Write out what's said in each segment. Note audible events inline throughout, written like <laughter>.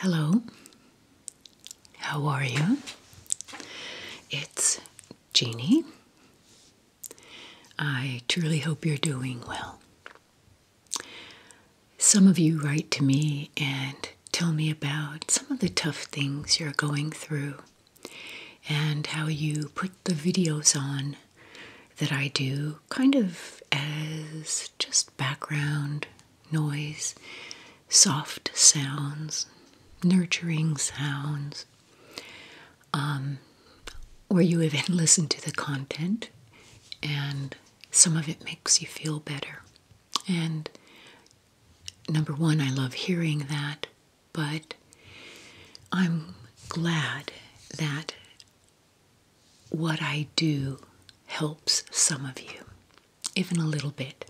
Hello, how are you? It's Jeannie. I truly hope you're doing well. Some of you write to me and tell me about some of the tough things you're going through and how you put the videos on that I do kind of as just background noise, soft sounds, nurturing sounds. Um, or you even <laughs> listen to the content, and some of it makes you feel better. And number one, I love hearing that, but I'm glad that what I do helps some of you, even a little bit.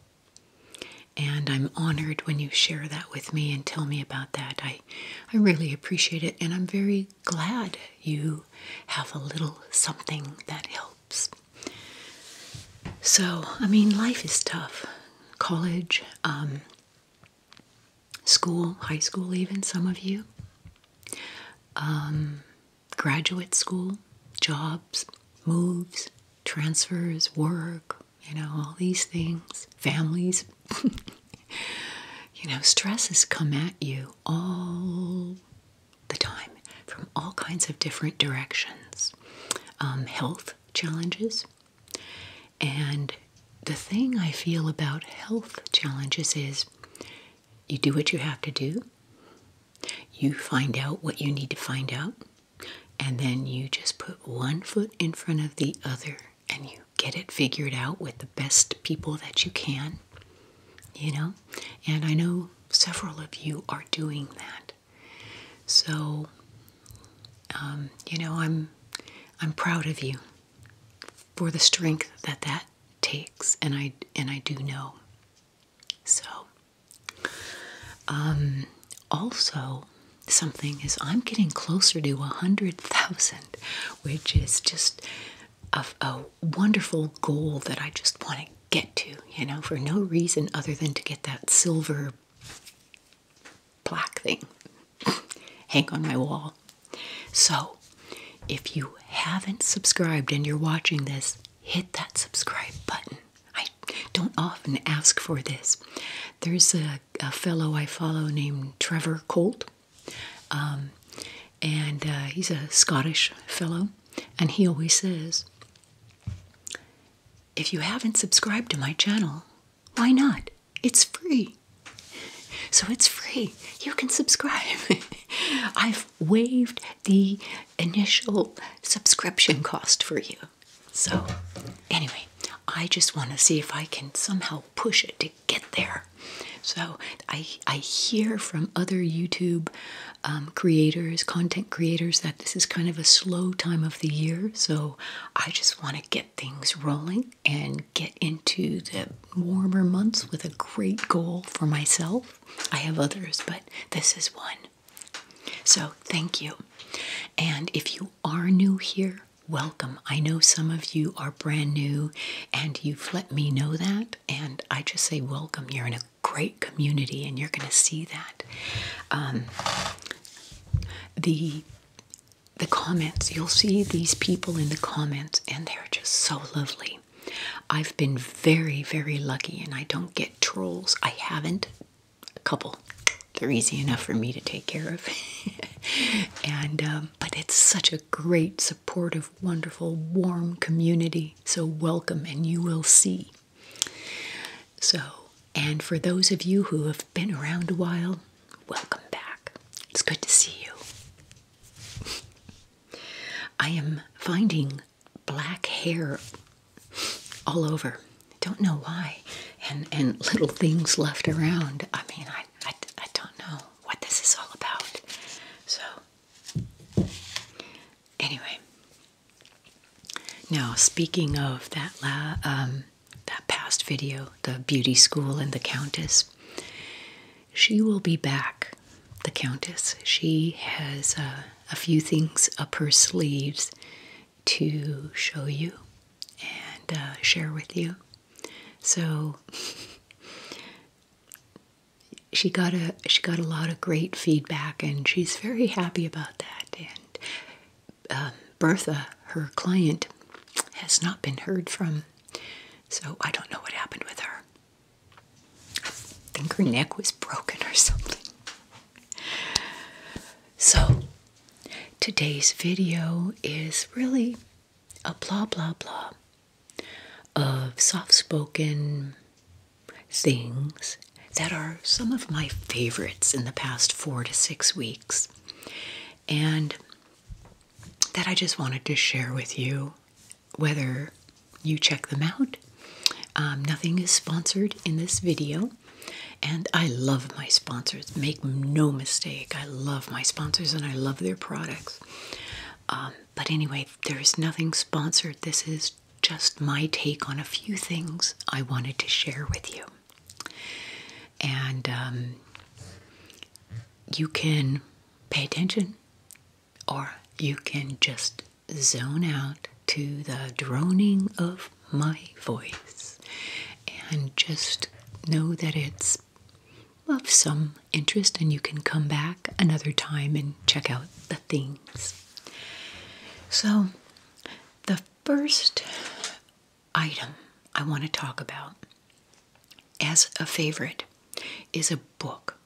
And I'm honored when you share that with me and tell me about that. I, I really appreciate it, and I'm very glad you have a little something that helps. So, I mean, life is tough. College, um, school, high school, even some of you, um, graduate school, jobs, moves, transfers, work, you know, all these things, families. <laughs> you know, stresses come at you all the time from all kinds of different directions. Um, health challenges. And the thing I feel about health challenges is you do what you have to do, you find out what you need to find out, and then you just put one foot in front of the other and you get it figured out with the best people that you can, you know. And I know several of you are doing that. So, um, you know, I'm I'm proud of you for the strength that that takes, and I and I do know. So, um, also something is I'm getting closer to a hundred thousand, which is just a wonderful goal that I just want to get to. You know, for no reason other than to get that silver Black thing <laughs> hang on my wall. So, if you haven't subscribed and you're watching this, hit that subscribe button. I don't often ask for this. There's a, fellow I follow named Trevor Colt, um, and uh, he's a Scottish fellow, and he always says, if you haven't subscribed to my channel, why not? It's free. So it's free. You can subscribe. <laughs> I've waived the initial subscription cost for you. So, anyway, I just want to see if I can somehow push it to get there. So, I, I hear from other YouTube um, creators, content creators, that this is kind of a slow time of the year, so I just want to get things rolling and get into the warmer months with a great goal for myself. I have others, but this is one. So, thank you. And if you are new here, welcome. I know some of you are brand new and you've let me know that. And I just say, welcome. You're in a great community and you're going to see that. Um, the the comments you'll see these people in the comments and they're just so lovely i've been very very lucky and i don't get trolls i haven't a couple they're easy enough for me to take care of <laughs> and um, but it's such a great supportive wonderful warm community so welcome and you will see so, and for those of you who have been around a while, welcome back. It's good to see you. <laughs> I am finding black hair all over. Don't know why. And and little things left around. I mean, I, I, don't know what this is all about. So, anyway, now, speaking of that um, that past video, the beauty school and the countess, she will be back. The countess, she has uh, a few things up her sleeves to show you and uh, share with you. So she got a she got a lot of great feedback, and she's very happy about that. And uh, Bertha, her client, has not been heard from. So I don't know what happened with her. I think her neck was broken or something. So today's video is really a blah blah blah of soft spoken things that are some of my favorites in the past four to six weeks, and that I just wanted to share with you whether you check them out. Um, nothing is sponsored in this video, and I love my sponsors. Make no mistake, I love my sponsors and I love their products. Um, but anyway, there is nothing sponsored. This is just my take on a few things I wanted to share with you. And um, you can pay attention or you can just zone out to the droning of my voice and just know that it's of some interest and you can come back another time and check out the things. So, the first item I want to talk about as a favorite is a book.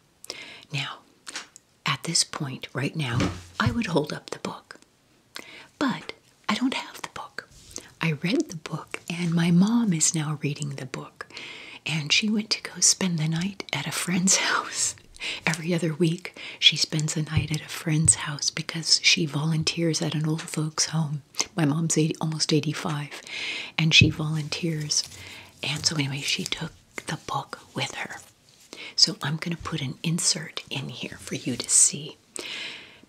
Now, at this point right now, I would hold up the book. But I don't have the book. I read the book, and my mom is now reading the book. And she went to go spend the night at a friend's <laughs> house every other week she spends the night at a friend's house because she volunteers at an old folks' home. My mom's almost 85, and she volunteers. And so, anyway, she took the book with her. So, I'm going to put an insert in here for you to see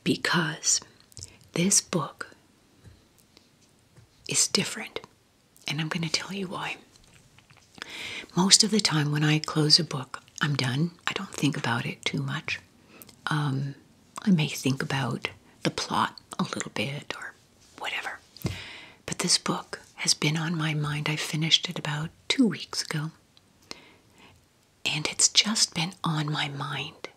because this book is different. And I'm going to tell you why. Most of the time, when I close a book, I'm done. I don't think about it too much. Um, I may think about the plot a little bit or whatever. But this book has been on my mind. I finished it about two weeks ago. And it's just been on my mind.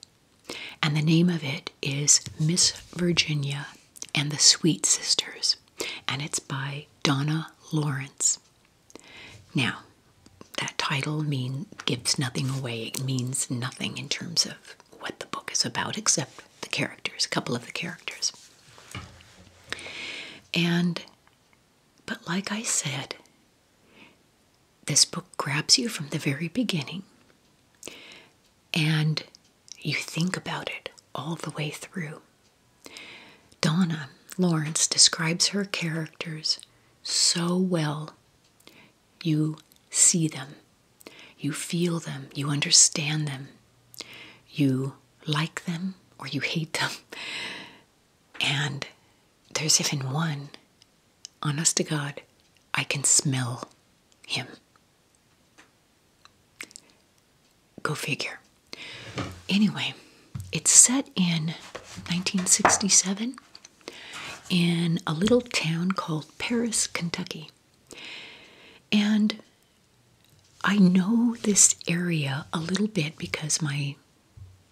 And the name of it is Miss Virginia and the Sweet Sisters. And it's by Donna Lawrence. Now, that title mean gives nothing away. It means nothing in terms of what the book is about, except the characters, a couple of the characters. And, but like I said, this book grabs you from the very beginning and you think about it all the way through. Donna Lawrence describes her characters so well. You see them, you feel them, you understand them, you like them or you hate them. And there's even one, honest to God, I can smell him. Go figure. Anyway. It's set in 1967 in a little town called Paris, Kentucky. And I know this area a little bit because my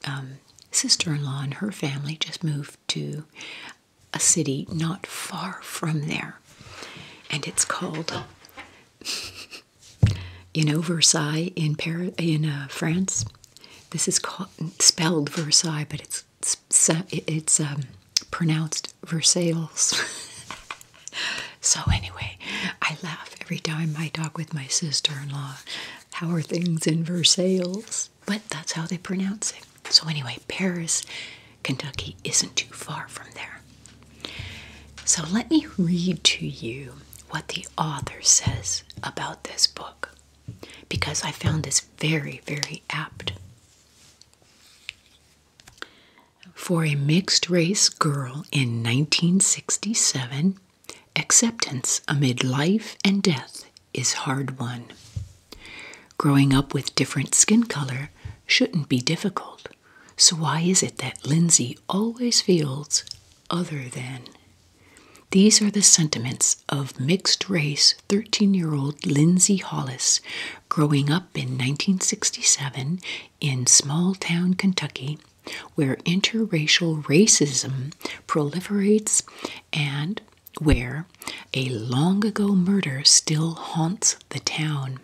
um, sister in law and her family just moved to a city not far from there. And it's called, <laughs> in Versailles in, uh, France. This is spelled Versailles, but it's it's um, pronounced Versailles. <laughs> so anyway, I laugh every time I talk with my sister-in-law. How are things in Versailles? But that's how they pronounce it. So anyway, Paris, Kentucky isn't too far from there. So let me read to you what the author says about this book because I found this very, very apt. For a mixed race girl in 1967, acceptance amid life and death is hard won. Growing up with different skin color shouldn't be difficult, so why is it that Lindsay always feels other than. These are the sentiments of mixed race 13 year old Lindsay Hollis, growing up in 1967 in small town Kentucky, where interracial racism proliferates and where a long ago murder still haunts the town.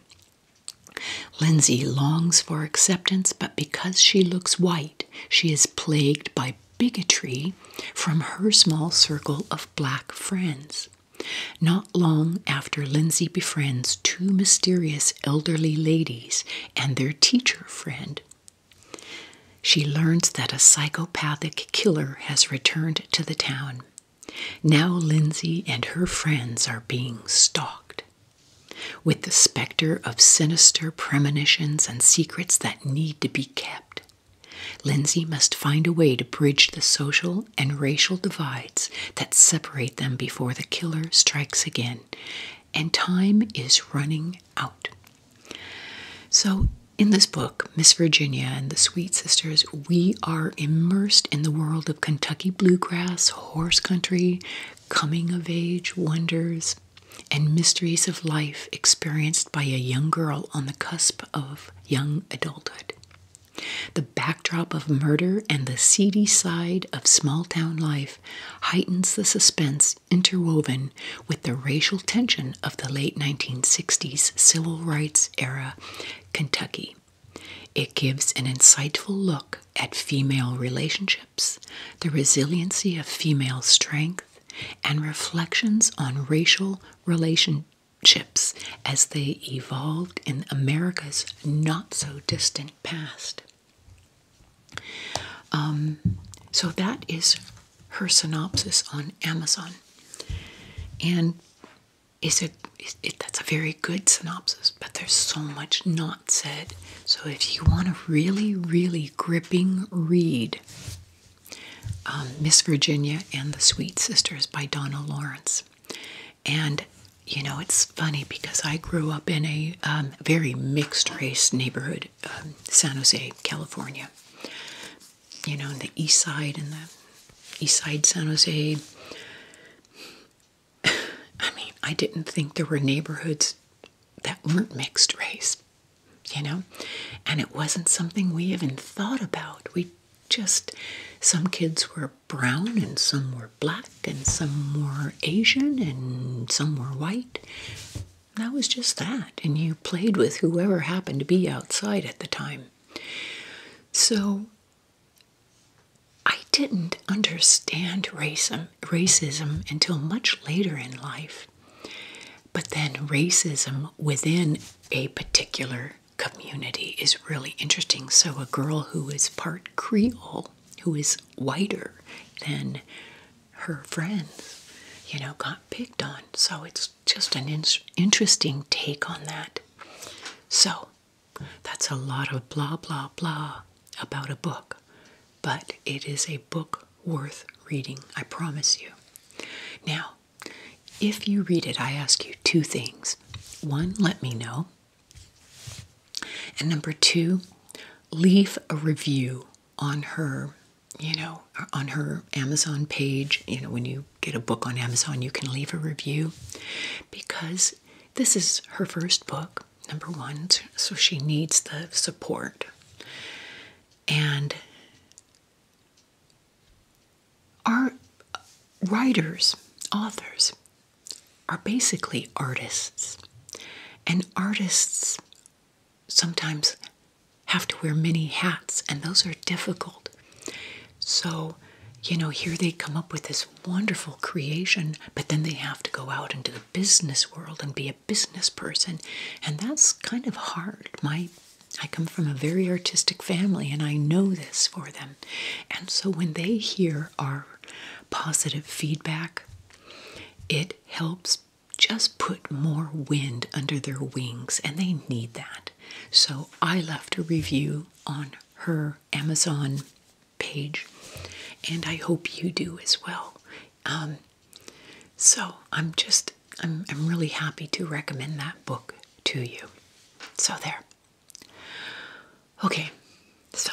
Lindsay longs for acceptance, but because she looks white, she is plagued by bigotry from her small circle of black friends. Not long after Lindsay befriends two mysterious elderly ladies and their teacher friend, she learns that a psychopathic killer has returned to the town. Now Lindsay and her friends are being stalked. With the of sinister premonitions and secrets that need to be kept. Lindsay must find a way to bridge the social and racial divides that separate them before the killer strikes again, and time is running out. So, in this book, Miss Virginia and the Sweet Sisters, we are immersed in the world of Kentucky bluegrass, horse country, coming of age wonders, and mysteries of life experienced by a young girl on the cusp of young adulthood. The backdrop of murder and the seedy side of small town life heightens the suspense interwoven with the racial tension of the late 1960s civil rights era Kentucky. It gives an insightful look at female relationships the resiliency of female strength, and reflections on racial relationships as they evolved in America's not so distant past. Um, so that is her synopsis on Amazon, and is it, is That's a very good synopsis, but there's so much not said. So if you want a really, really gripping read um, Miss Virginia and the Sweet Sisters by Donna Lawrence. And you know, it's funny because I grew up in a um, very mixed race neighborhood, um, San Jose, California. You know, in the east side in the east side San Jose. <sighs> I mean, I didn't think there were neighborhoods that weren't mixed race, you know? And it wasn't something we even thought about. We just, some kids were brown and some were black and some were Asian and some were white. That was just that. And you played with whoever happened to be outside at the time. So I didn't understand um, racism, until much later in life. But then racism within a particular community is really interesting. So, a girl who is part Creole, who is whiter than her friends, you know, got picked on. So, it's just an interesting take on that. So, that's a lot of blah, blah, blah about a book but it is a book worth reading, I promise you. Now, if you read it, I ask you two things. One, let me know. And number two, leave a review on her, you know, on her Amazon page. You know, when you get a book on Amazon, you can leave a review because this is her first book, number one, so she needs the support and our writers, authors, are basically artists. And artists sometimes have to wear many hats, and those are difficult. So, you know, here they come up with this wonderful creation, but then they have to go out into the business world and be a business person. And that's kind of hard. My I come from a very artistic family and I know this for them. And so when they hear our positive feedback, it helps just put more wind under their wings and they need that. So I left a review on her Amazon page and I hope you do as well. Um, so I'm just, I'm, I'm really happy to recommend that book to you. So there. Okay, so,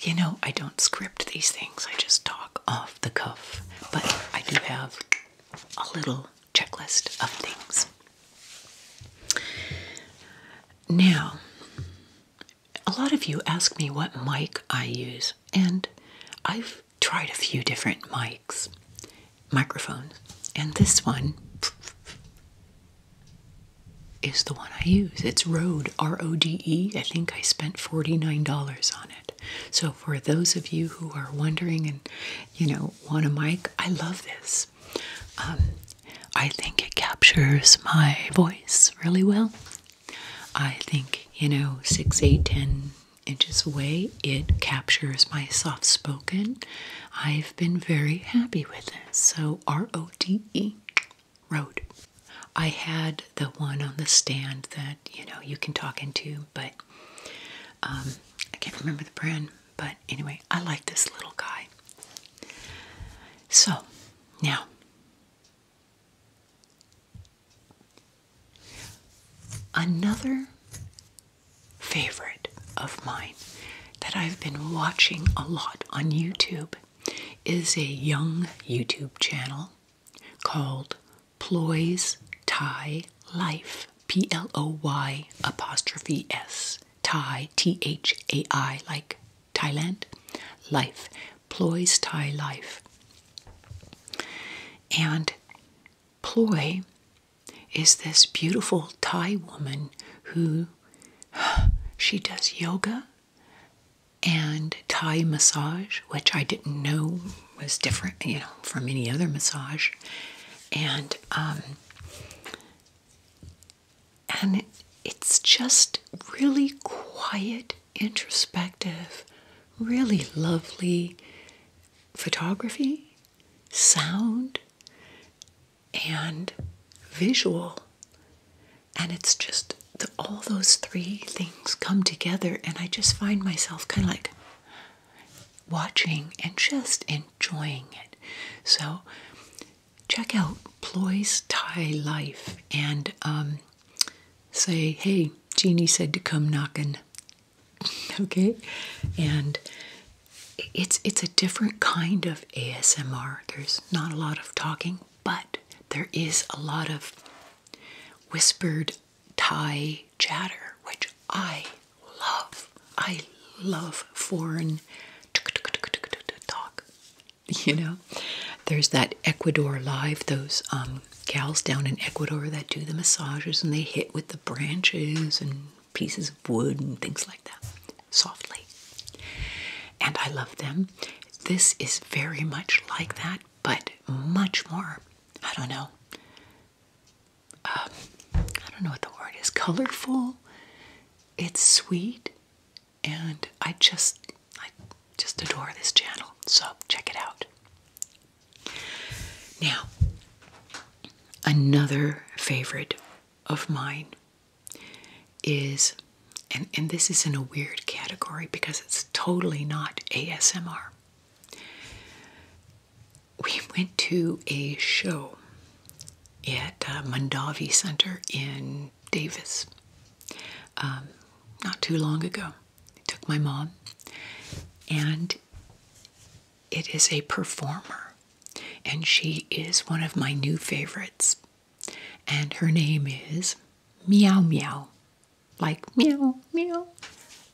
you know, I don't script these things, I just talk off the cuff, but I do have a little checklist of things. Now, a lot of you ask me what mic I use, and I've tried a few different mics, microphones, and this one is the one I use. It's Rode, R O D E. I think I spent $49 on it. So for those of you who are wondering and, you know, want a mic, I love this. Um, I think it captures my voice really well I think, you know, six, eight, ten inches away, it captures my soft spoken. I've been very happy with it. So R O D E, Rode. I had the one on the stand that, you know, you can talk into, but um, I can't remember the brand. But anyway, I like this little guy. So now Another favorite of mine that I've been watching a lot on YouTube is a young YouTube channel called Ploy's Thai Life. P L O Y apostrophe S. Thai, T H A I, like Thailand. Life. Ploy's Thai Life. And Ploy is this beautiful Thai woman who <sighs> she does yoga and Thai massage, which I didn't know was different, you know, from any other massage. And um, and it's just really quiet, introspective, really lovely photography, sound, and visual. And it's just all those three things come together, and I just find myself kind of like watching and just enjoying it. So, check out Ploy's Thai Life and um, say, hey, Jeannie said to come knocking. <laughs> Okay, and it's it's a different kind of ASMR. There's not a lot of talking, but there is a lot of whispered Thai chatter, which I love. I love foreign <laughs> talk. You know, there's that Ecuador Live, those um, gals down in Ecuador that do the massages and they hit with the branches and pieces of wood and things like that softly. And I love them. This is very much like that, but much more, I don't know, um, I don't know what the word is, colorful. It's sweet. And I just, I just adore this channel. So check it out. Now, another favorite of mine is, and, this is in a weird category because it's totally not ASMR. We went to a show at uh, Mandavi Center in Davis um, not too long ago took my mom, and it is a performer, and she is one of my new favorites. And her name is Meow Meow, like meow, meow,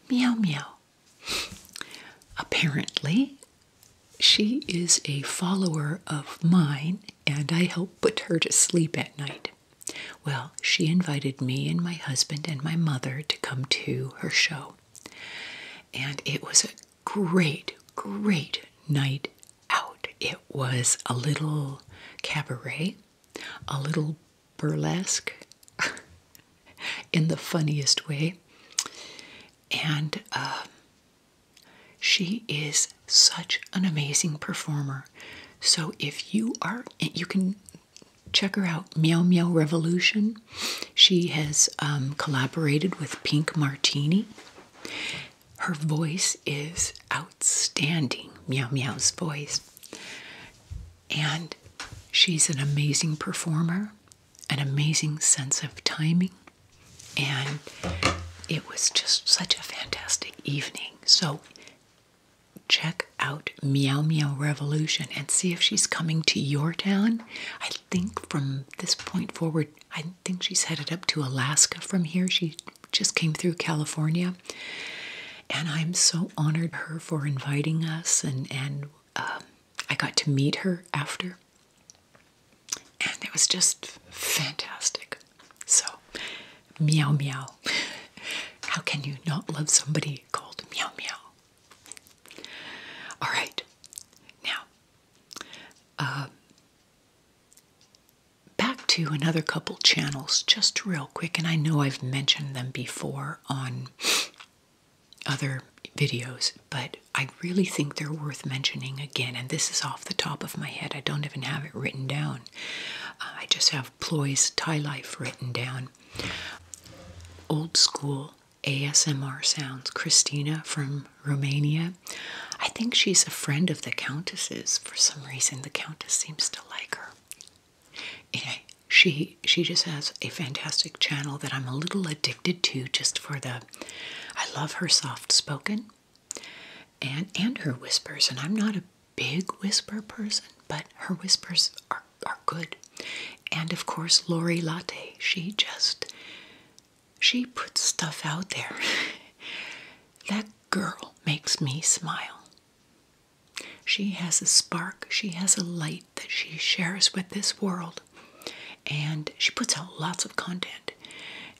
meow, meow. Apparently, she is a follower of mine, and I help put her to sleep at night. Well, she invited me and my husband and my mother to come to her show. And it was a great, great night out. It was a little cabaret, a little burlesque <laughs> in the funniest way. And uh, she is such an amazing performer. So if you are, you can check her out, Meow Meow Revolution. She has um, collaborated with Pink Martini. Her voice is outstanding, Meow Meow's voice. And she's an amazing performer, an amazing sense of timing. And it was just such a fantastic evening. So check out Meow Meow Revolution and see if she's coming to your town. I think from this point forward, I think she's headed up to Alaska from here. She just came through California. And I'm so honored her for inviting us and and um, I got to meet her after. And it was just fantastic. So, meow meow. How can you not love somebody called Meow Meow? All right, now, uh, back to another couple channels, just real quick, and I know I've mentioned them before on other videos, but I really think they're worth mentioning again. And this is off the top of my head, I don't even have it written down. Uh, I just have Ploy's Thai Life written down. Old school ASMR sounds. Christina from Romania. I think she's a friend of the Countess's. For some reason, the Countess seems to like her. Anyway, she she just has a fantastic channel that I'm a little addicted to just for the I love her soft spoken and and her whispers and I'm not a big whisper person, but her whispers are, are good. And of course, Lori Latte, she just, she puts stuff out there. <laughs> that girl makes me smile. She has a spark, she has a light that she shares with this world. And she puts out lots of content.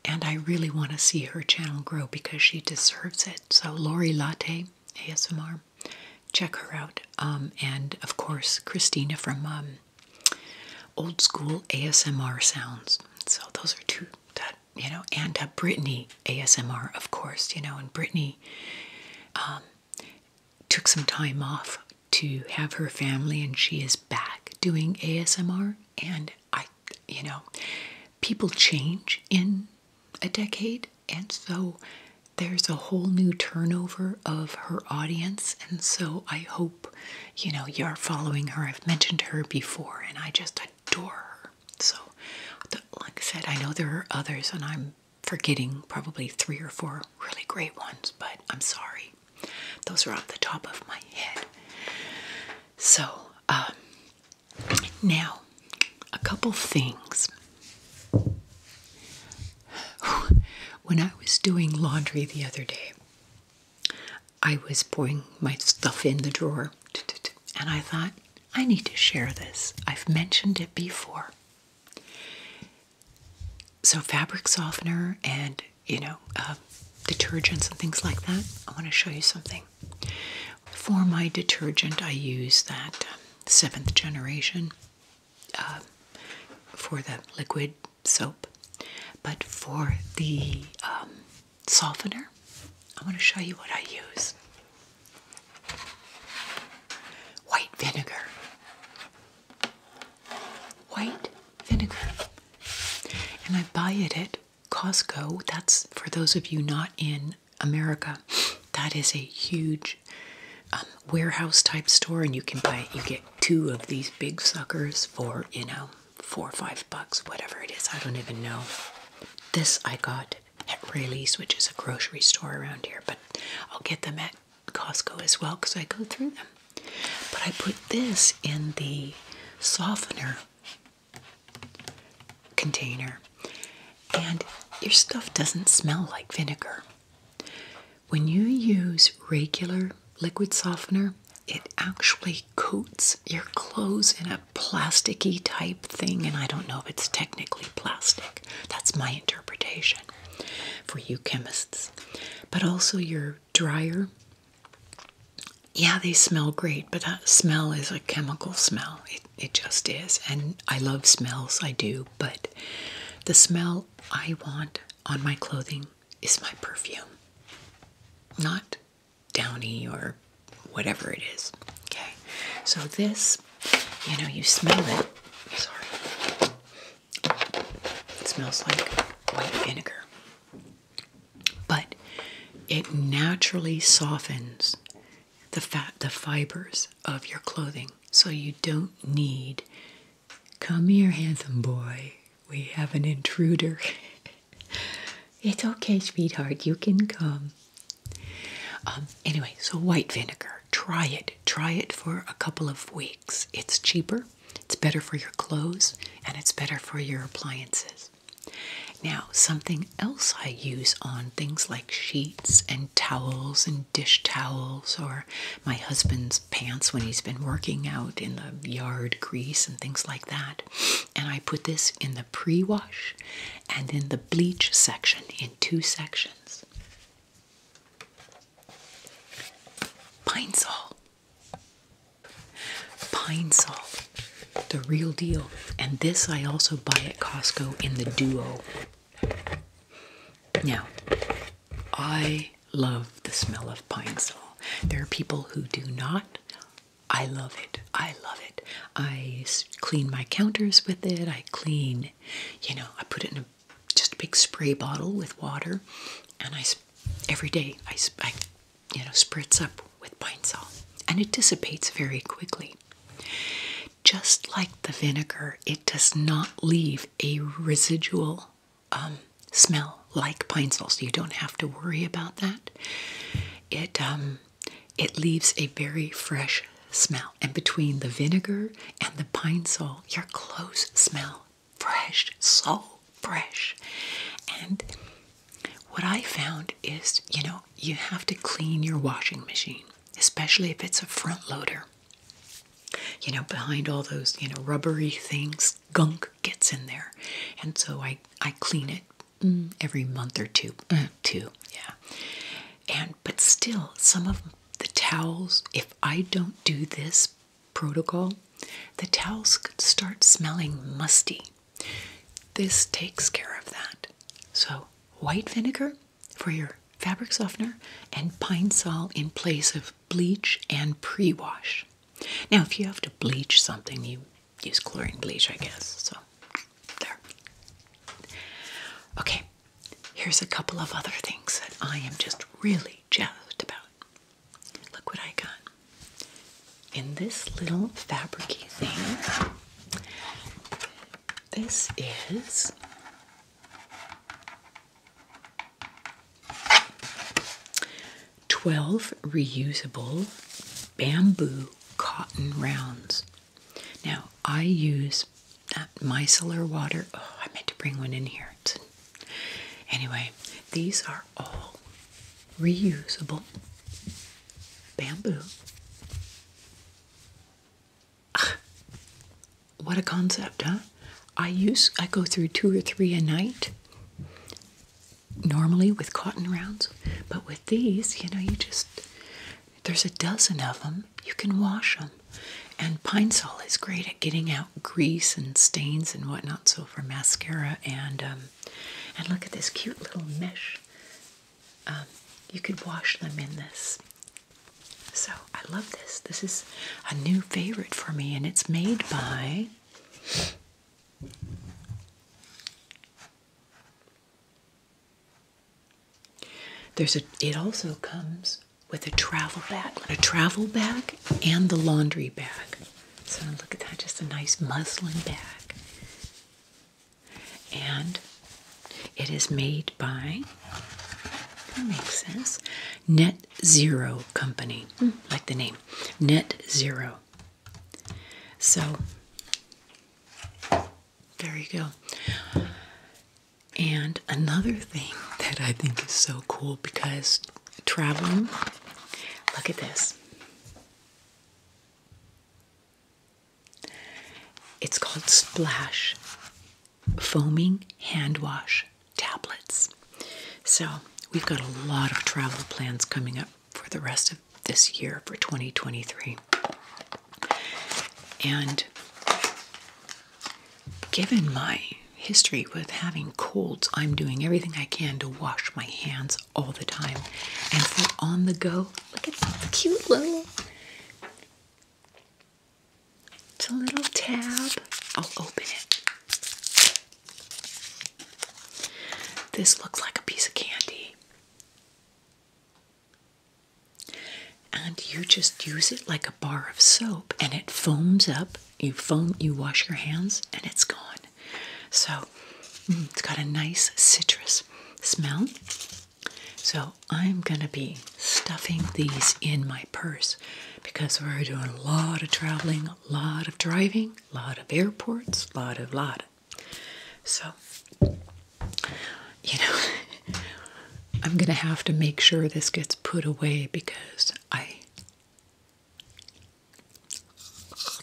And I really want to see her channel grow because she deserves it. So, Lori Latte, ASMR, check her out. Um, and of course, Christina from um, Old School ASMR Sounds. So those are two you know, and uh, Brittany ASMR, of course, you know, and Brittany um, took some time off to have her family, and she is back doing ASMR. And I, you know, people change in a decade. And so there's a whole new turnover of her audience. And so I hope, you know, you're following her. I've mentioned her before and I just adore her. So, like I said, I know there are others and I'm forgetting probably three or four really great ones, but I'm sorry. Those are off the top of my head. So, um, now a couple things. When I was doing laundry the other day, I was pouring my stuff in the drawer and I thought, I need to share this. I've mentioned it before. So, fabric softener and, you know, uh, detergents and things like that. I want to show you something. For my detergent, I use that um, seventh generation uh, for the liquid soap. But for the um, softener, I want to show you what I use white vinegar. White vinegar. And I buy it at Costco. That's for those of you not in America. That is a huge um, warehouse type store, and you can buy you get two of these big suckers for you know four or five bucks, whatever it is. I don't even know. This I got at Rayleigh's, which is a grocery store around here, but I'll get them at Costco as well because I go through them. But I put this in the softener container and your stuff doesn't smell like vinegar. When you use regular liquid softener, it actually coats your clothes in a plasticky type thing, and I don't know if it's technically plastic. That's my interpretation for you chemists. But also your dryer. Yeah, they smell great, but that smell is a chemical smell. It, just is. And I love smells, I do, but the smell I want on my clothing is my perfume, not downy or whatever it is. Okay, so this, you know, you smell it. Sorry. It smells like white vinegar. But it naturally softens the fat, the fibers of your clothing. So you don't need, come here, handsome boy, we have an intruder. <laughs> it's okay, sweetheart, you can come. Um, anyway, so white vinegar, try it. Try it for a couple of weeks. It's cheaper, it's better for your clothes, and it's better for your appliances. Now, something else I use on things like sheets and towels and dish towels or my husband's pants when he's been working out in the yard grease and things like that. And I put this in the pre wash and in the bleach section in two sections. Pine Sol. Pine Sol. The real deal. And this I also buy at Costco in the duo now, I love the smell of pine sol. There are people who do not. I love it. I love it. I clean my counters with it. I clean, you know, I put it in a just a big spray bottle with water, and I every day I, I you know spritz up with pine sol, and it dissipates very quickly just like the vinegar, it does not leave a residual um, smell like pine sol, so you don't have to worry about that. It um, it leaves a very fresh smell, and between the vinegar and the pine sol, your clothes smell fresh, so fresh. And what I found is, you know, you have to clean your washing machine, especially if it's a front loader you know, behind all those, you know, rubbery things, gunk gets in there. And so I, I clean it mm, every month or two, uh, mm. two, yeah. And, but still, some of the towels, if I don't do this protocol, the towels could start smelling musty. This takes care of that. So, white vinegar, for your fabric softener and pine sol in place of bleach and pre-wash. Now, if you have to bleach something, you use chlorine bleach, I guess. So, there. Okay, here's a couple of other things that I am just really jazzed about. Look what I got. In this little fabricy thing, this is twelve reusable bamboo cotton rounds. Now I use that micellar water. Oh, I meant to bring one in here. anyway, these are all reusable bamboo. <sighs> what a concept, huh? I use I go through two or three a night normally with cotton rounds, but with these, you know, you just there's a dozen of them. You can wash them. And Pine Sol is great at getting out grease and stains and whatnot. So for mascara and um, and look at this cute little mesh. Um, you could wash them in this so I love this. This is a new favorite for me, and it's made by there's a it also comes with a travel bag, a travel bag and the laundry bag. So look at that, just a nice muslin bag. And it is made by, that makes sense, Net Zero Company, hmm. like the name, Net Zero. So, there you go. And another thing that I think is so cool because traveling, look at this. It's called Splash foaming hand wash tablets. So, we've got a lot of travel plans coming up for the rest of this year for 2023. And given my history with having colds, I'm doing everything I can to wash my hands all the time. And for on the go, look at the cute little it's a little tab. I'll open it. This looks like a piece of candy. And you just use it like a bar of soap and it foams up. You foam, you wash your hands, and it's gone. So mm, it's got a nice citrus smell. So I'm going to be stuffing these in my purse because we're doing a lot of traveling, a lot of driving, a lot of airports, a lot of, lot. Of. So, you know, <laughs> I'm going to have to make sure this gets put away because I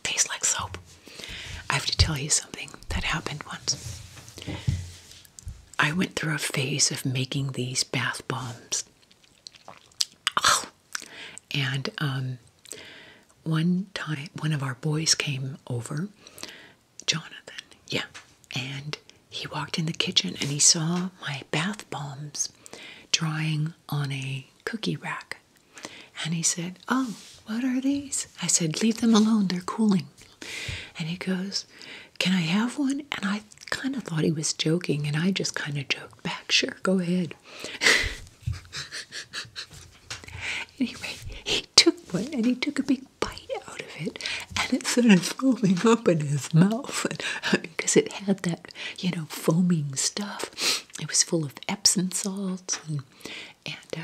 taste like soap. I have to tell you something that happened once. I went through a phase of making these bath bombs. Oh. And um, one time, one of our boys came over, Jonathan, yeah, and he walked in the kitchen and he saw my bath bombs drying on a cookie rack. And he said, Oh, what are these? I said, Leave them alone, they're cooling. And he goes, can I have one? And I kind of thought he was joking, and I just kind of joked back, Sure, go ahead. <laughs> anyway, he took one and he took a big bite out of it, and it started foaming up in his mouth because it had that, you know, foaming stuff. It was full of Epsom salts and, uh,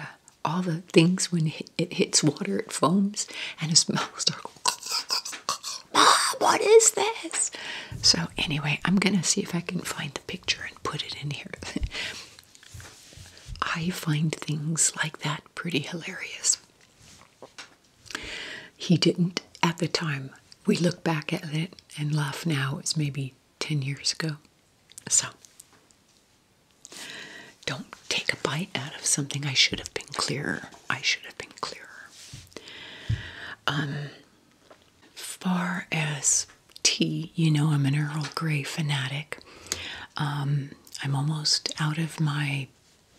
all the things when it hits water, it foams, and his mouth starts. Mom, what is this? So anyway, I'm gonna see if I can find the picture and put it in here. <laughs> I find things like that pretty hilarious. He didn't at the time. We look back at it and laugh now. It was maybe 10 years ago. So, don't take a bite out of something. I should have been clearer. I should have been clearer. Um, far as tea, you know, I'm an Earl Grey fanatic. Um, I'm almost out of my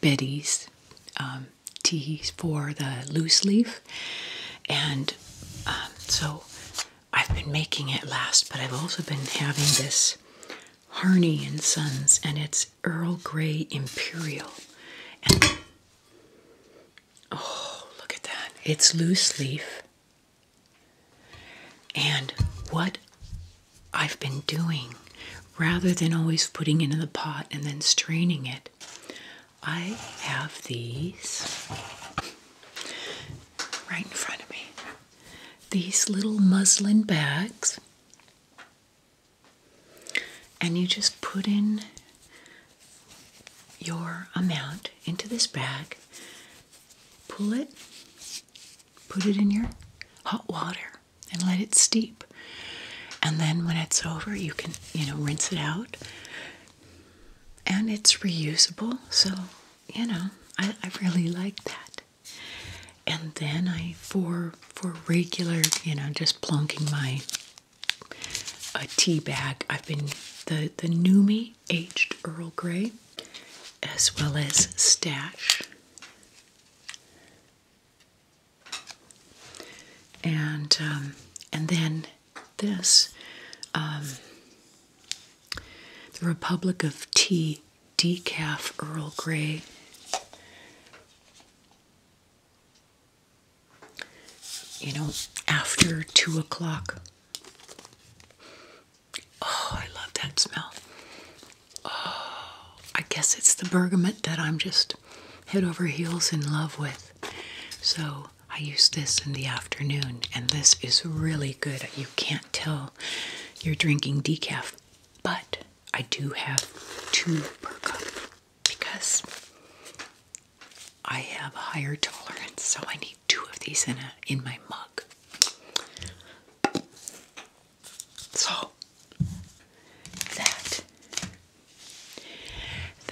Betty's um, teas for the loose leaf, and um, so I've been making it last, but I've also been having this Harney and Sons, and it's Earl Grey Imperial. And oh, look at that! It's loose leaf. And what I've been doing, rather than always putting it in the pot and then straining it, I have these right in front of me. These little muslin bags and you just put in your amount into this bag, pull it, put it in your hot water, and let it steep. And then when it's over, you can, you know, rinse it out. And it's reusable, so, you know, I, really like that. And then I, for for regular, you know, just plunking my a tea bag, I've been the the Numi aged Earl Grey, as well as Stash. And um, and then this, um, the Republic of Tea decaf Earl Grey you know, after two o'clock. Oh, I love that smell. Oh, I guess it's the bergamot that I'm just head over heels in love with. So I use this in the afternoon, and this is really good. You can't tell you're drinking decaf but I do have two per cup because I have a higher tolerance, so I need two of these in a in my mug. So that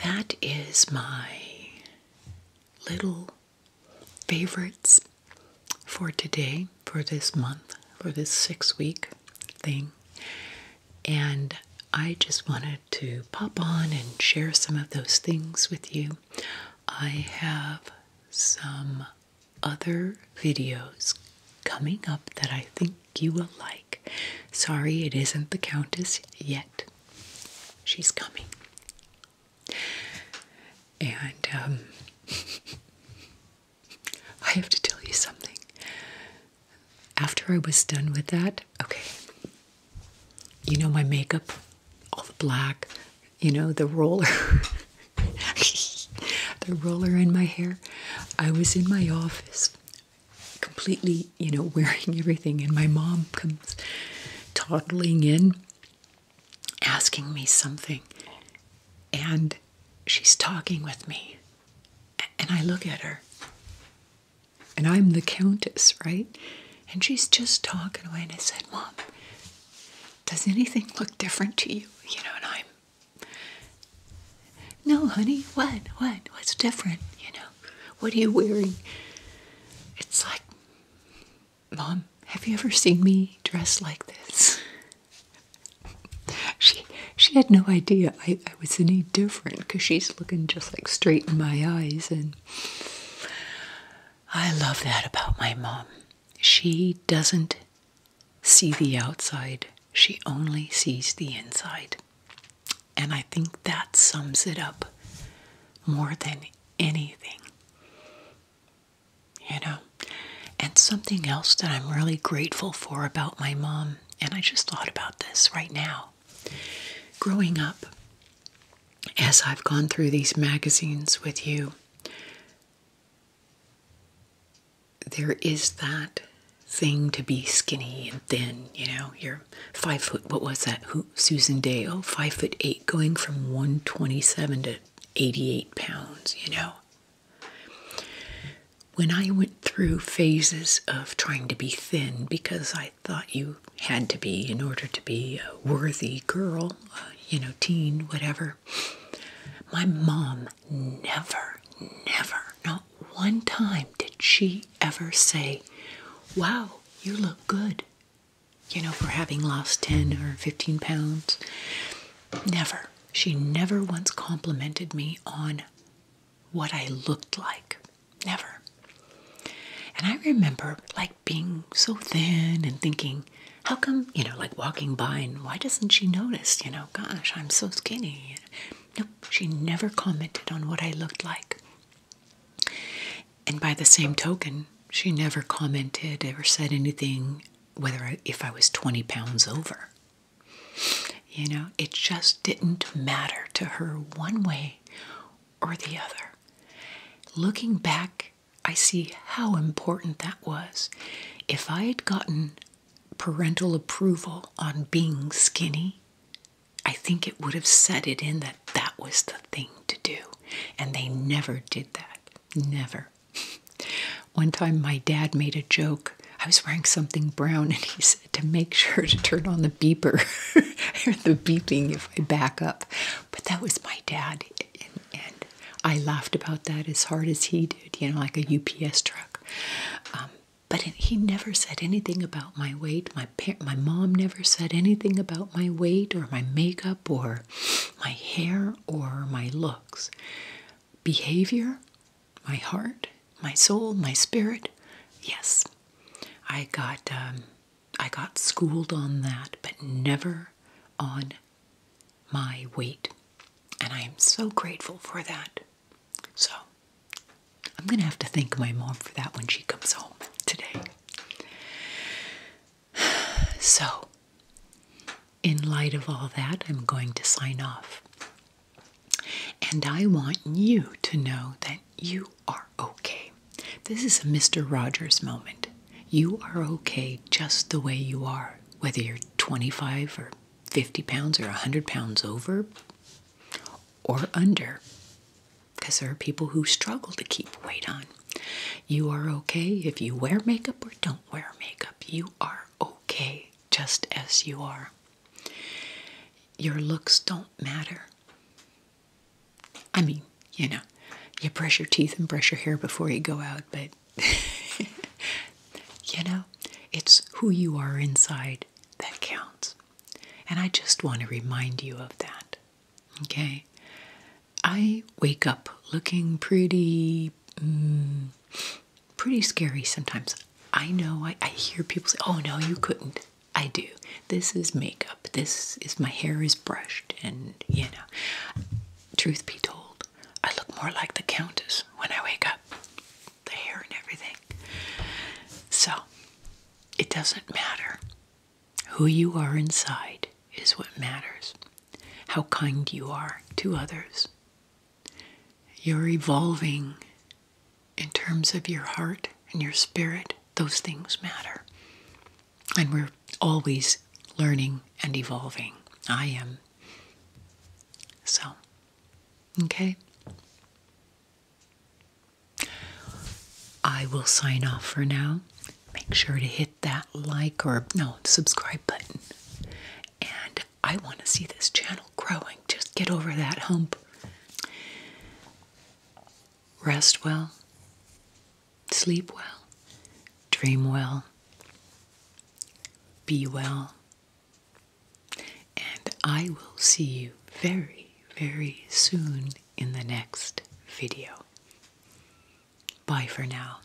that is my little favorites for today for this month, for this six week thing. And I just wanted to pop on and share some of those things with you. I have some other videos coming up that I think you will like. Sorry, it isn't the Countess yet. She's coming. And um, <laughs> I have to tell you something. After I was done with that, okay, you know my makeup, all the black, you know, the roller, <laughs> the roller in my hair. I was in my office completely, you know, wearing everything, and my mom comes toddling in asking me something, and she's talking with me. And I look at her. And I'm the countess, right? And she's just talking away. And I said, Mom, does anything look different to you? You know, and I'm, no, honey, what? What? What's different? You know, what are you wearing? It's like, Mom, have you ever seen me dressed like this? she she had no idea I, I was any different because she's looking just like straight in my eyes and I love that about my mom. She doesn't see the outside. She only sees the inside. And I think that sums it up more than anything. You know? And something else that I'm really grateful for about my mom and I just thought about this right now. Growing up, as I've gone through these magazines with you, there is that thing to be skinny and thin, you know, you're five foot, what was that? Who, Susan Day, oh, five foot eight, going from 127 to 88 pounds, you know. When I went through phases of trying to be thin because I thought you had to be in order to be a worthy girl, uh, you know, teen, whatever, my mom never, never, not one time did she ever say, Wow, you look good, you know, for having lost 10 or 15 pounds. Never. She never once complimented me on what I looked like. Never. And I remember like being so thin and thinking, how come, you know, like walking by and why doesn't she notice, you know, gosh, I'm so skinny. Nope, she never commented on what I looked like. And by the same token, she never commented, ever said anything, whether I, if I was 20 pounds over. You know, it just didn't matter to her one way or the other. Looking back, I see how important that was. If I had gotten parental approval on being skinny, I think it would have set it in that that was the thing to do. And they never did that. Never. One time, my dad made a joke. I was wearing something brown, and he said to make sure to turn on the beeper <laughs> or the beeping if I back up. But that was my dad, and, I laughed about that as hard as he did, you know, like a UPS truck. Um, but he never said anything about my weight. My my mom never said anything about my weight or my makeup or my hair or my looks. Behavior, my heart, my soul, my spirit. Yes, I got um, I got schooled on that, but never on my weight, and I am so grateful for that. So I'm gonna have to thank my mom for that when she comes home today. <sighs> So, in light of all that, I'm going to sign off. And I want you to know that you are okay. This is a Mr. Rogers moment. You are okay just the way you are, whether you're 25 or 50 pounds or 100 pounds over or under, because there are people who struggle to keep weight on. You are okay if you wear makeup or don't wear makeup. You are okay just as you are. Your looks don't matter. I mean, you know, you brush your teeth and brush your hair before you go out, but <laughs> you know, it's who you are inside that counts. And I just want to remind you of that. Okay? I wake up looking pretty mm, pretty scary sometimes. I know I hear people say, "Oh no, you couldn't." I do. This is makeup. This is my hair is brushed, and you know. Truth be told, I look more like the Countess when I wake up. The hair and everything. So, it doesn't matter. Who you are inside is what matters. How kind you are to others you're evolving in terms of your heart and your spirit. Those things matter. And we're always learning and evolving. I am. So, okay. I will sign off for now. Make sure to hit that like or no, subscribe button. And I want to see this channel growing. Just get over that hump. Rest well, sleep well, dream well, be well, and I will see you very, very soon in the next video. Bye for now.